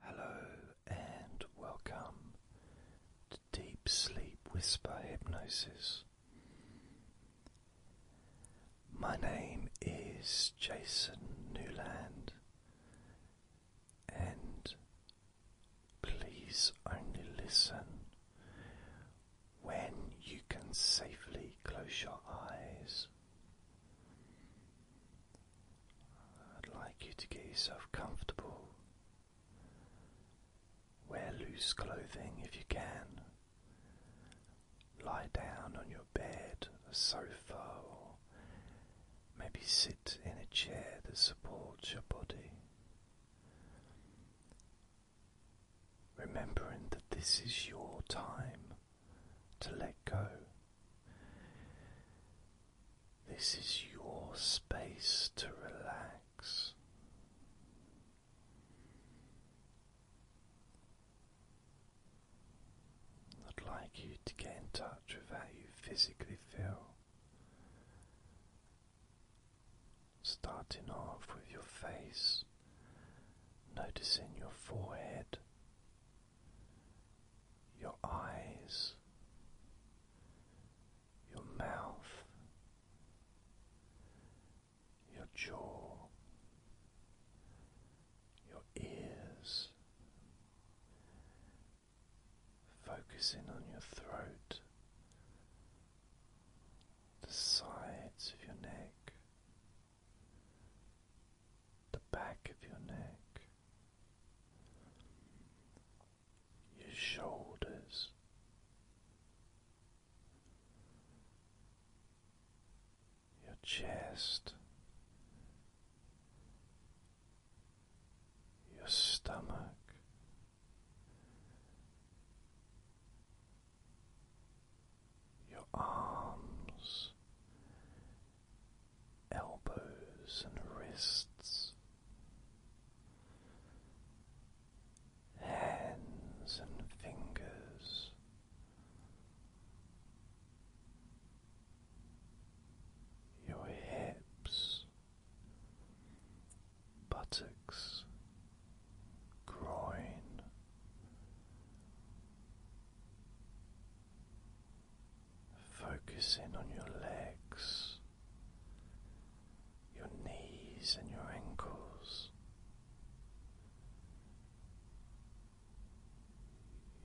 Hello and welcome to Deep Sleep Whisper Hypnosis. My name is Jason Newland, and please only listen when you can safely close your eyes. I'd like you to get yourself comfortable. Wear loose clothing if you can. Lie down on your bed, a sofa, or maybe sit in a chair that supports your body. Remembering that this is your time to let go. This is your space to relax. I'd like you to get in touch with how you physically feel. Starting off with your face, noticing your forehead, your eyes, your mouth, your jaw, your ears, focusing on your throat, the sides of your neck. The back of your neck, your shoulders. Your chest, your stomach, your arms, elbows and wrists, hands and fingers. Your hips, buttocks, groin, Focus in on your legs, your knees, and your ankles,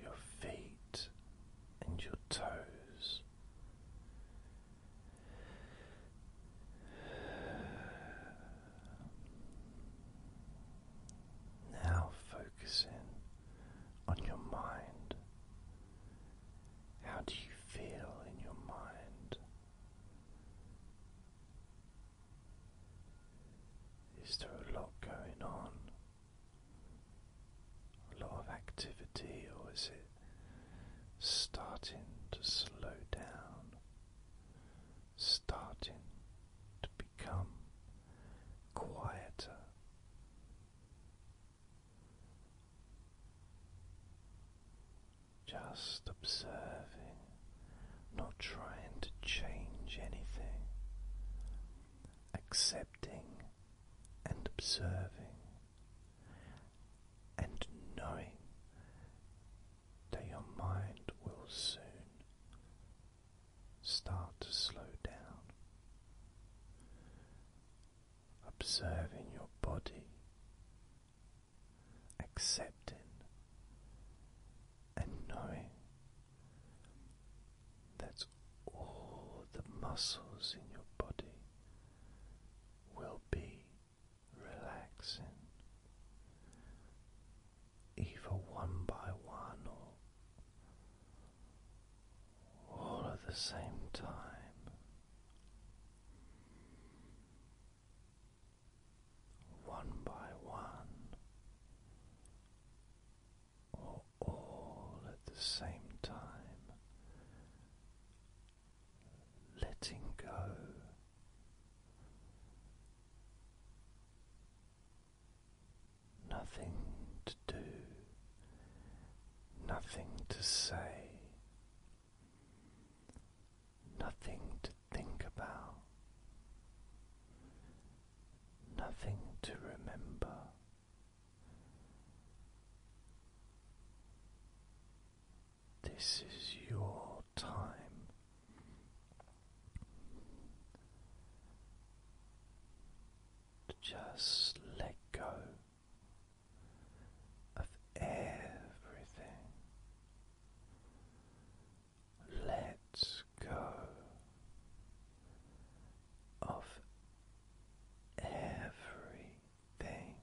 your feet, and your toes. Now, focus in on your mind. How do you feel in your mind? Is there a lot going on? A lot of activity, or is it starting to slow down? Starting to become quieter just observing, not trying to change anything, accepting and observing and knowing that your mind will soon start to slow down observing your body, accepting and knowing that all the muscles in your body will be relaxing, either one by one or all at the same time. One by one, or all at the same time, letting go, nothing to do, nothing to say, nothing to think about, nothing to remember. This is your time. To just let go of everything. let go of everything.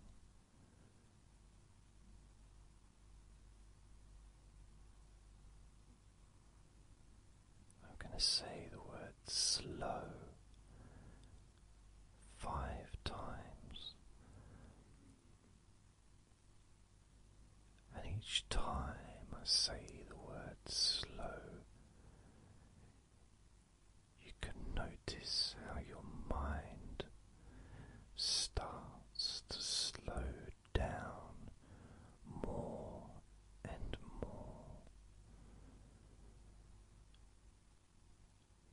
I'm going to say the word slow five times, and each time I say the word slow, you can notice how your mind starts to slow down more and more.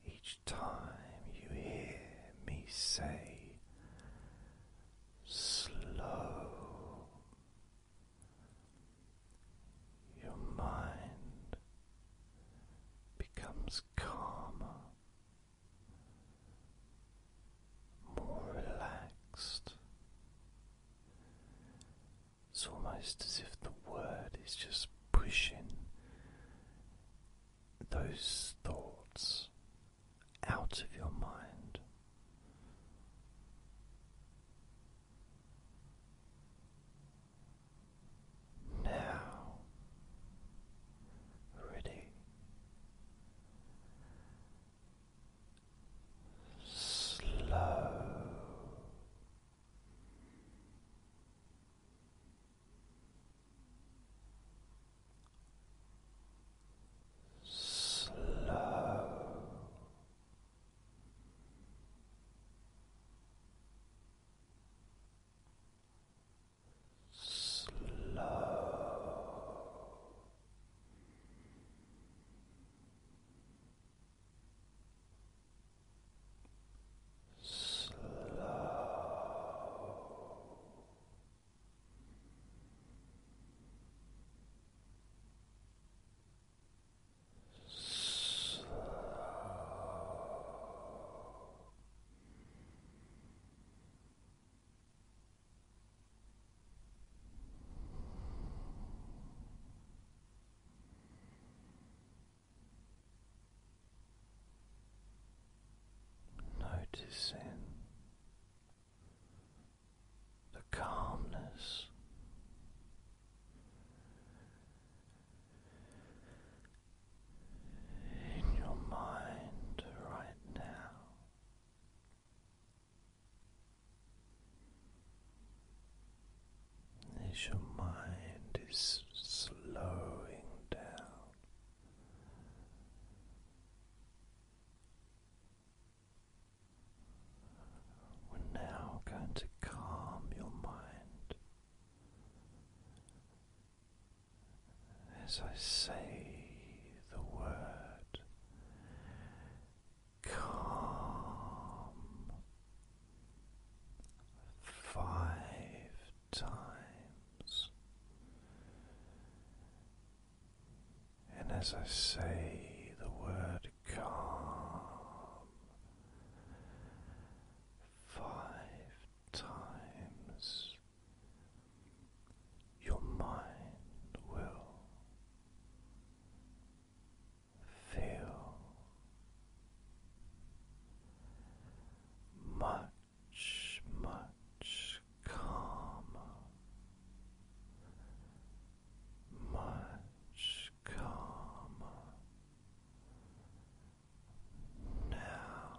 Each time you hear me say slow, your mind becomes calmer, more relaxed. It's almost as if the word is just pushing those thoughts out of your mind. Now, ready. Slow slow. Slow slow Slow. Noticing the calmness in your mind right now as your mind is slowing down. We're now going to calm your mind as I say the word calm five times. And as I say the word calm five times, your mind will feel much, much calmer, much calmer now.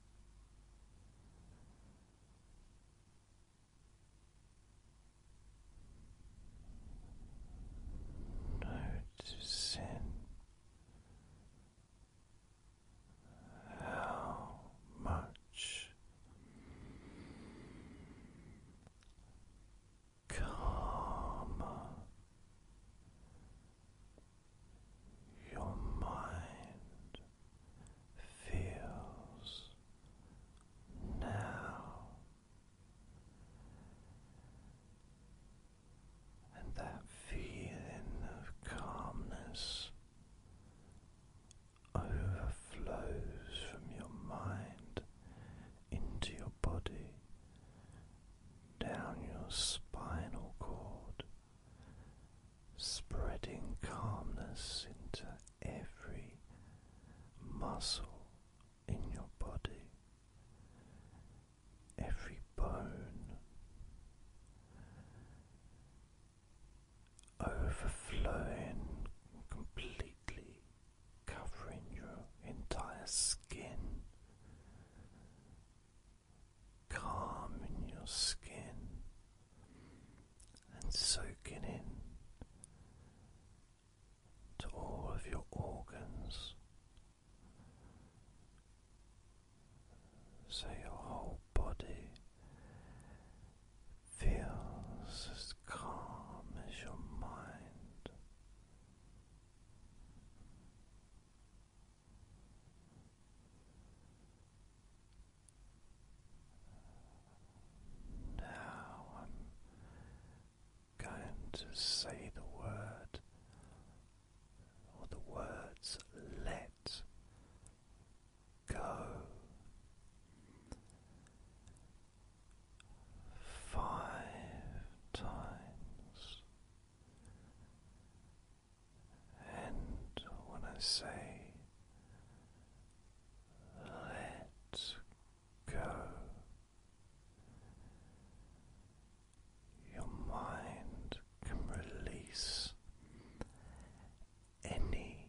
Noticing how much calmer your mind feels now, and that feeling of calmness overflows from your mind into your body. Down your spinal cord, spreading calmness into every muscle in your body, every bone, overflowing completely, covering your entire skin calm in your skin and soaking in to all of your organs. So your whole body feels as calm as your mind. Now I'm going to say the word or the words let go. Five times and when I say let go, your mind can release any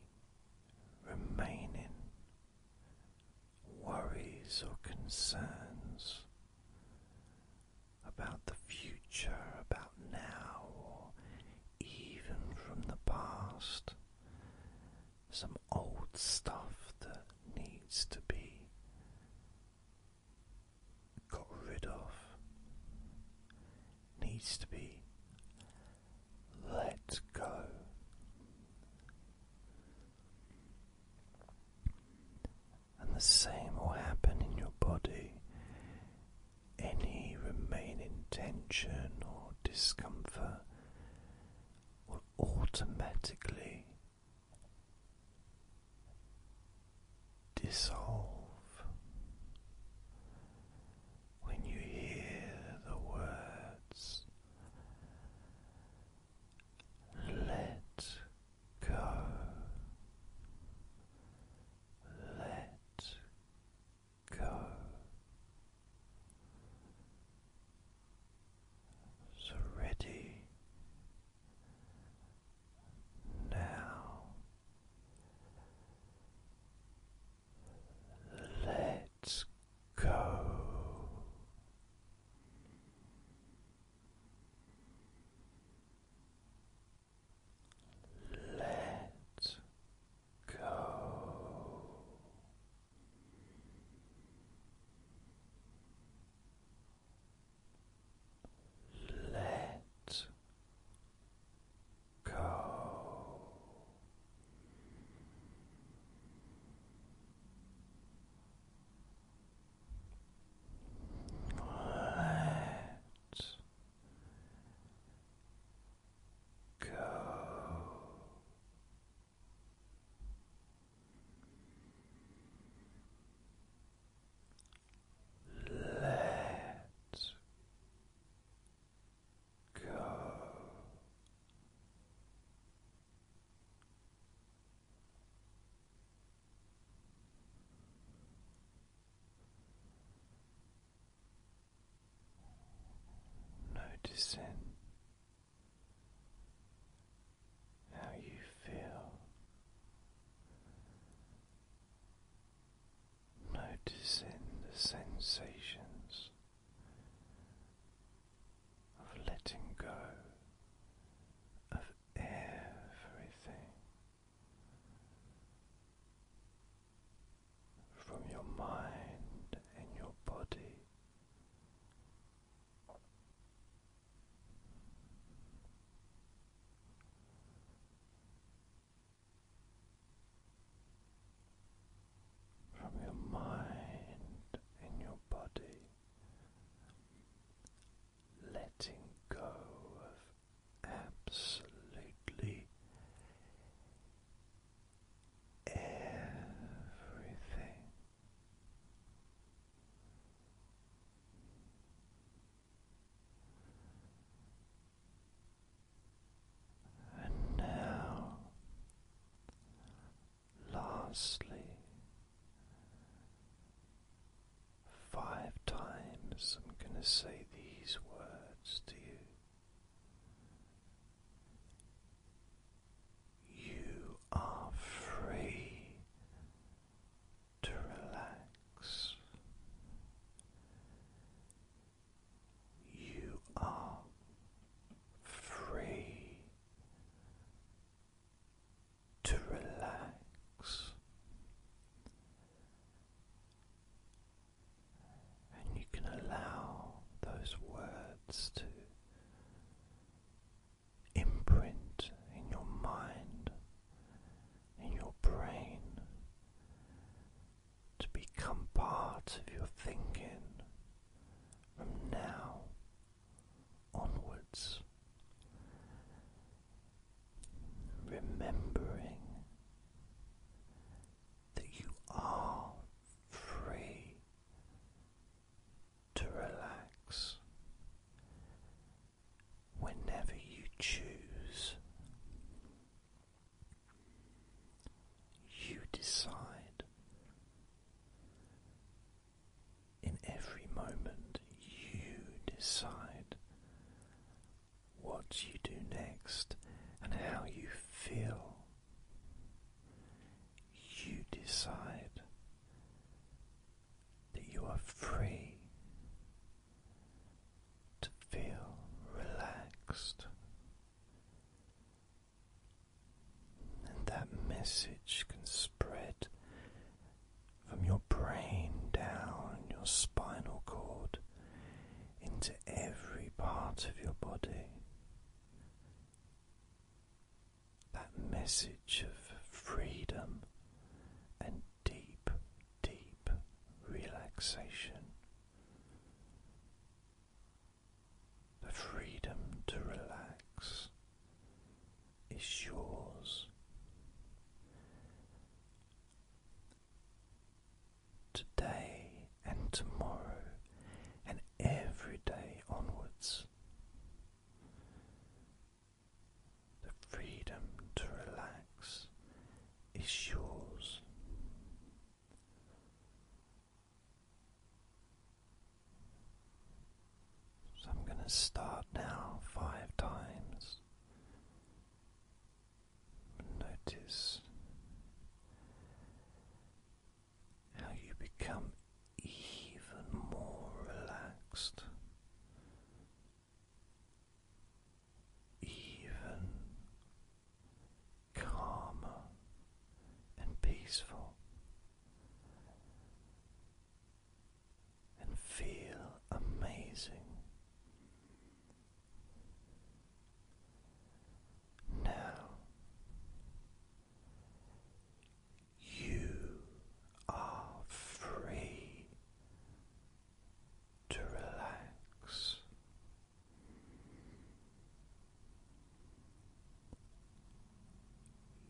remaining worries or concerns about the future, about now, or even from the past. Some old stuff that needs to be got rid of, needs to be let go. And the same will happen in your body any remaining tension or discomfort will automatically dissolve when you hear the words. Let go let go. So ready now, let's go. Let go. Let go. Let Go. Let go. Noticing how you feel, noticing the sensations of letting go of everything from your mind and your body. From your mind and your body, letting go of absolutely everything. And now, lastly, five times, I'm going to say these words to you. You are free to relax. You are free to relax and you can allow those words to imprint in your mind, in your brain, to become part of your thinking from now onwards remembering that you are free to relax whenever you choose. You decide in every moment, you decide what you do next and how you feel. You decide that you are free to feel relaxed. And that message can spread from your brain down your spinal cord into every part of your body. That message of freedom and deep, deep relaxation. The freedom to relax is yours today and tomorrow and every day onwards. The freedom to relax is yours. So I'm going to start now five times. Notice how you become even more relaxed, even calmer and peaceful, and feel amazing. Now you are free to relax.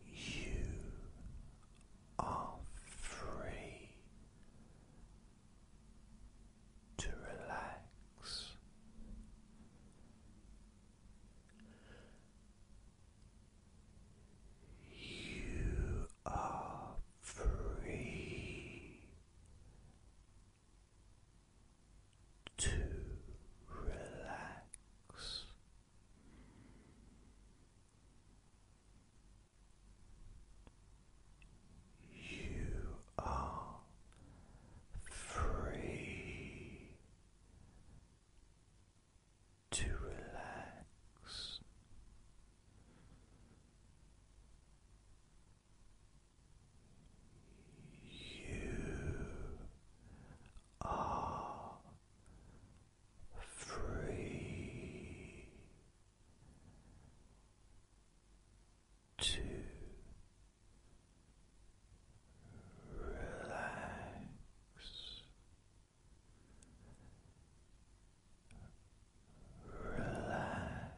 You are free to relax. You are free to relax. You are free to relax. You are free to relax. Relax. Relax.